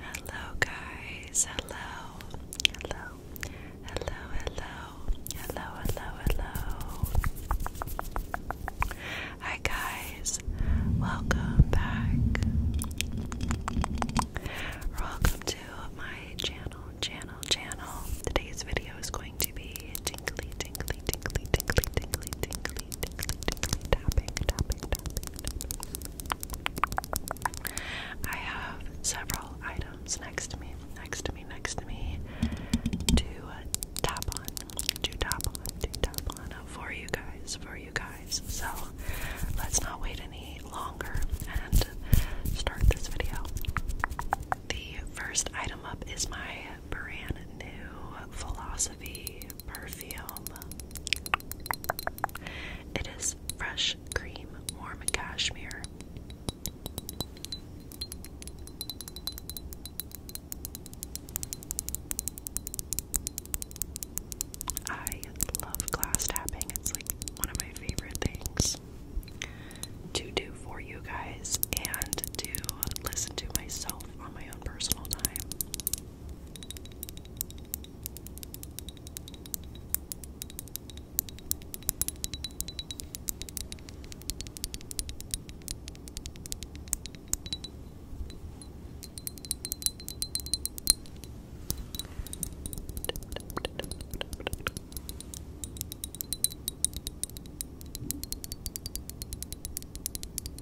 Hello, guys. Hello. Hello. Hello, hello. Hello, hello, hello. Hi, guys. Welcome back. Welcome to my channel, channel, channel. Today's video is going to be tingly, tingly, tingly, tingly, tingly, tingly, I have several items next to me, next to me, next to me to tap on, to tap on, to tap on for you guys, for you guys. So let's not wait any longer and start this video. The first item up is my brand new philosophy perfume. It is fresh cream, warm cashmere. I love glass tapping. It's like one of my favorite things to do for you guys and to listen to myself on my my own personal time. Thank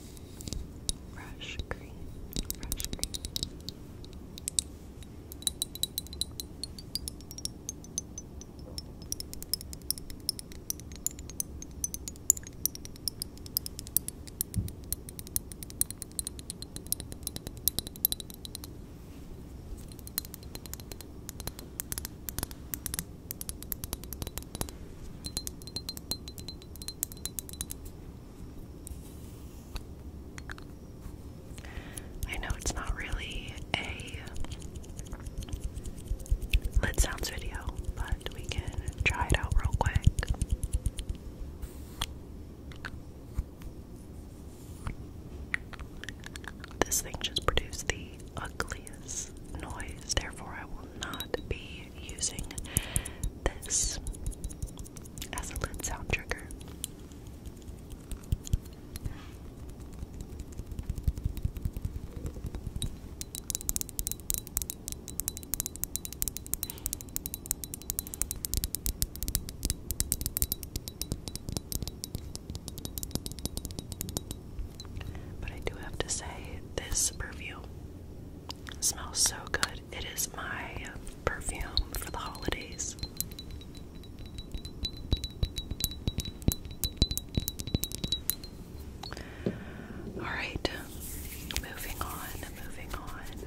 Fresh green, fresh green. I know it's not really a lid sounds video, but we can try it out real quick. This thing just produced the ugliest noise, therefore, I will not be using this as a lid sound trigger. But I do have to say, this perfume smells so good. It is my perfume for the holidays. All right, moving on, moving on.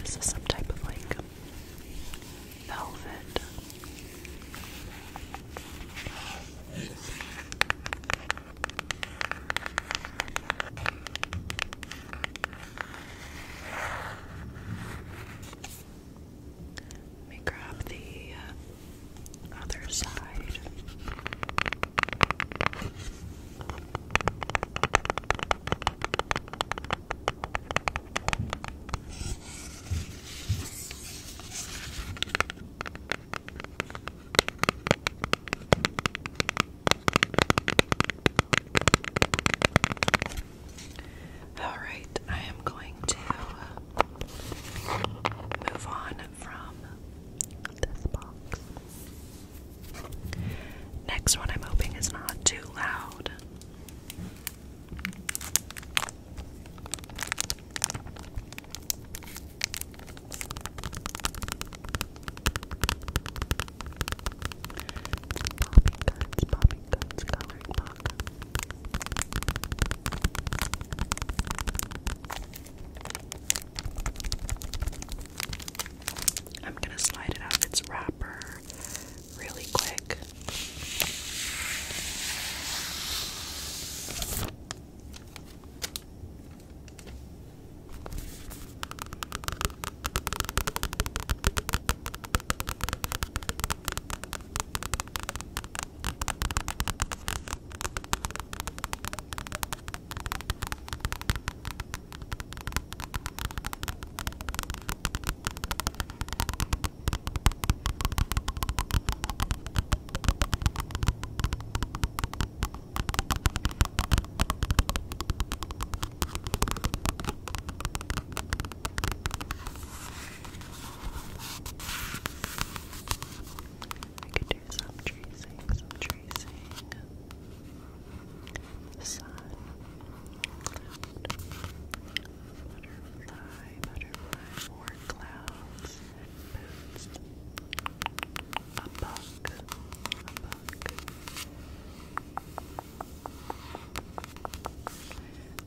This is some type of like velvet. Let me grab the uh, other side. All right, I am going to move on from this box. Next one, I'm hoping is not too loud. Guts, Bobby Guts coloring book. I'm gonna slide it out of its wrapper really quick. I could do some tracing, some tracing. Sun, Butterfly, butterfly, more clouds, a bug, a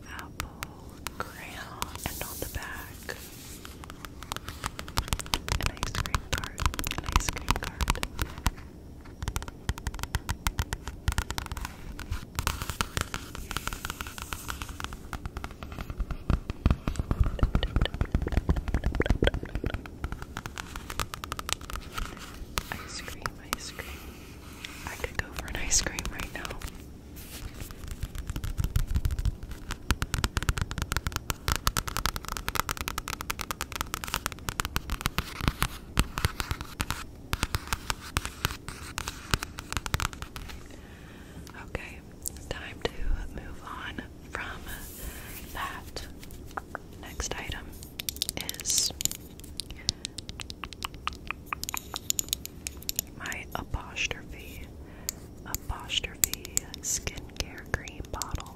apple, crayon, and on the back, an ice cream cart, an ice cream cart. Ice cream, ice cream. I could go for an ice cream right now. Okay, it's time to move on from that. Next item is my apostrophe apostrophe skincare cream bottle.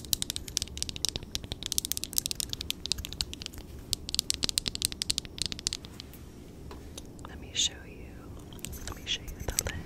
Let me show you. Let me show you the lid.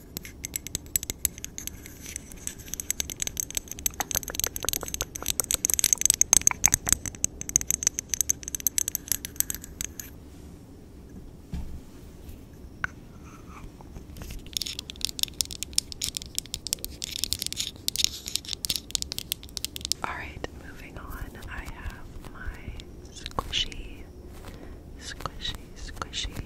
All right, moving on. I have my squishy squishy, squishy book.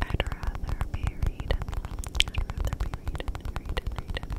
I'd rather be reading. I'd rather be reading, reading, reading.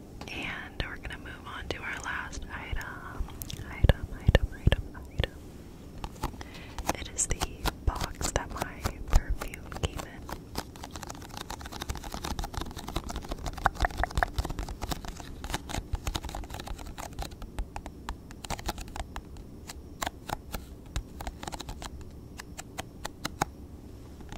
And we're gonna move on to our last item. Item, item, item, item. It is the box that my perfume came in.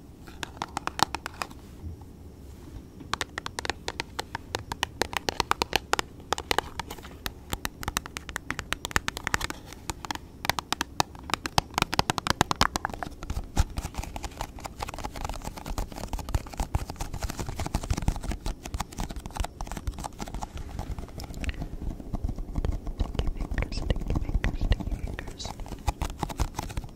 Sticky fingers, sticky fingers, sticky fingers.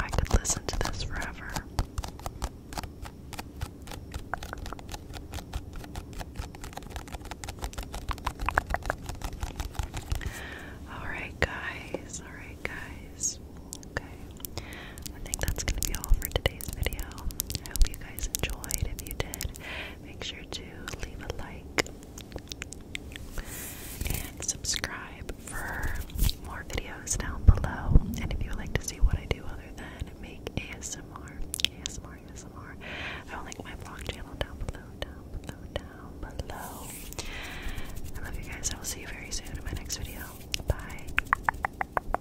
I could listen to this forever. All right, guys. All right, guys. Okay. I think that's going to be all for today's video. I hope you guys enjoyed. If you did, make sure to leave a like and subscribe for more videos down below. And if you would like to see what I do other than make ASMR, ASMR, ASMR, I will link my vlog channel down below, down below, down below. I love you guys. I will see you very soon in my next video. Bye.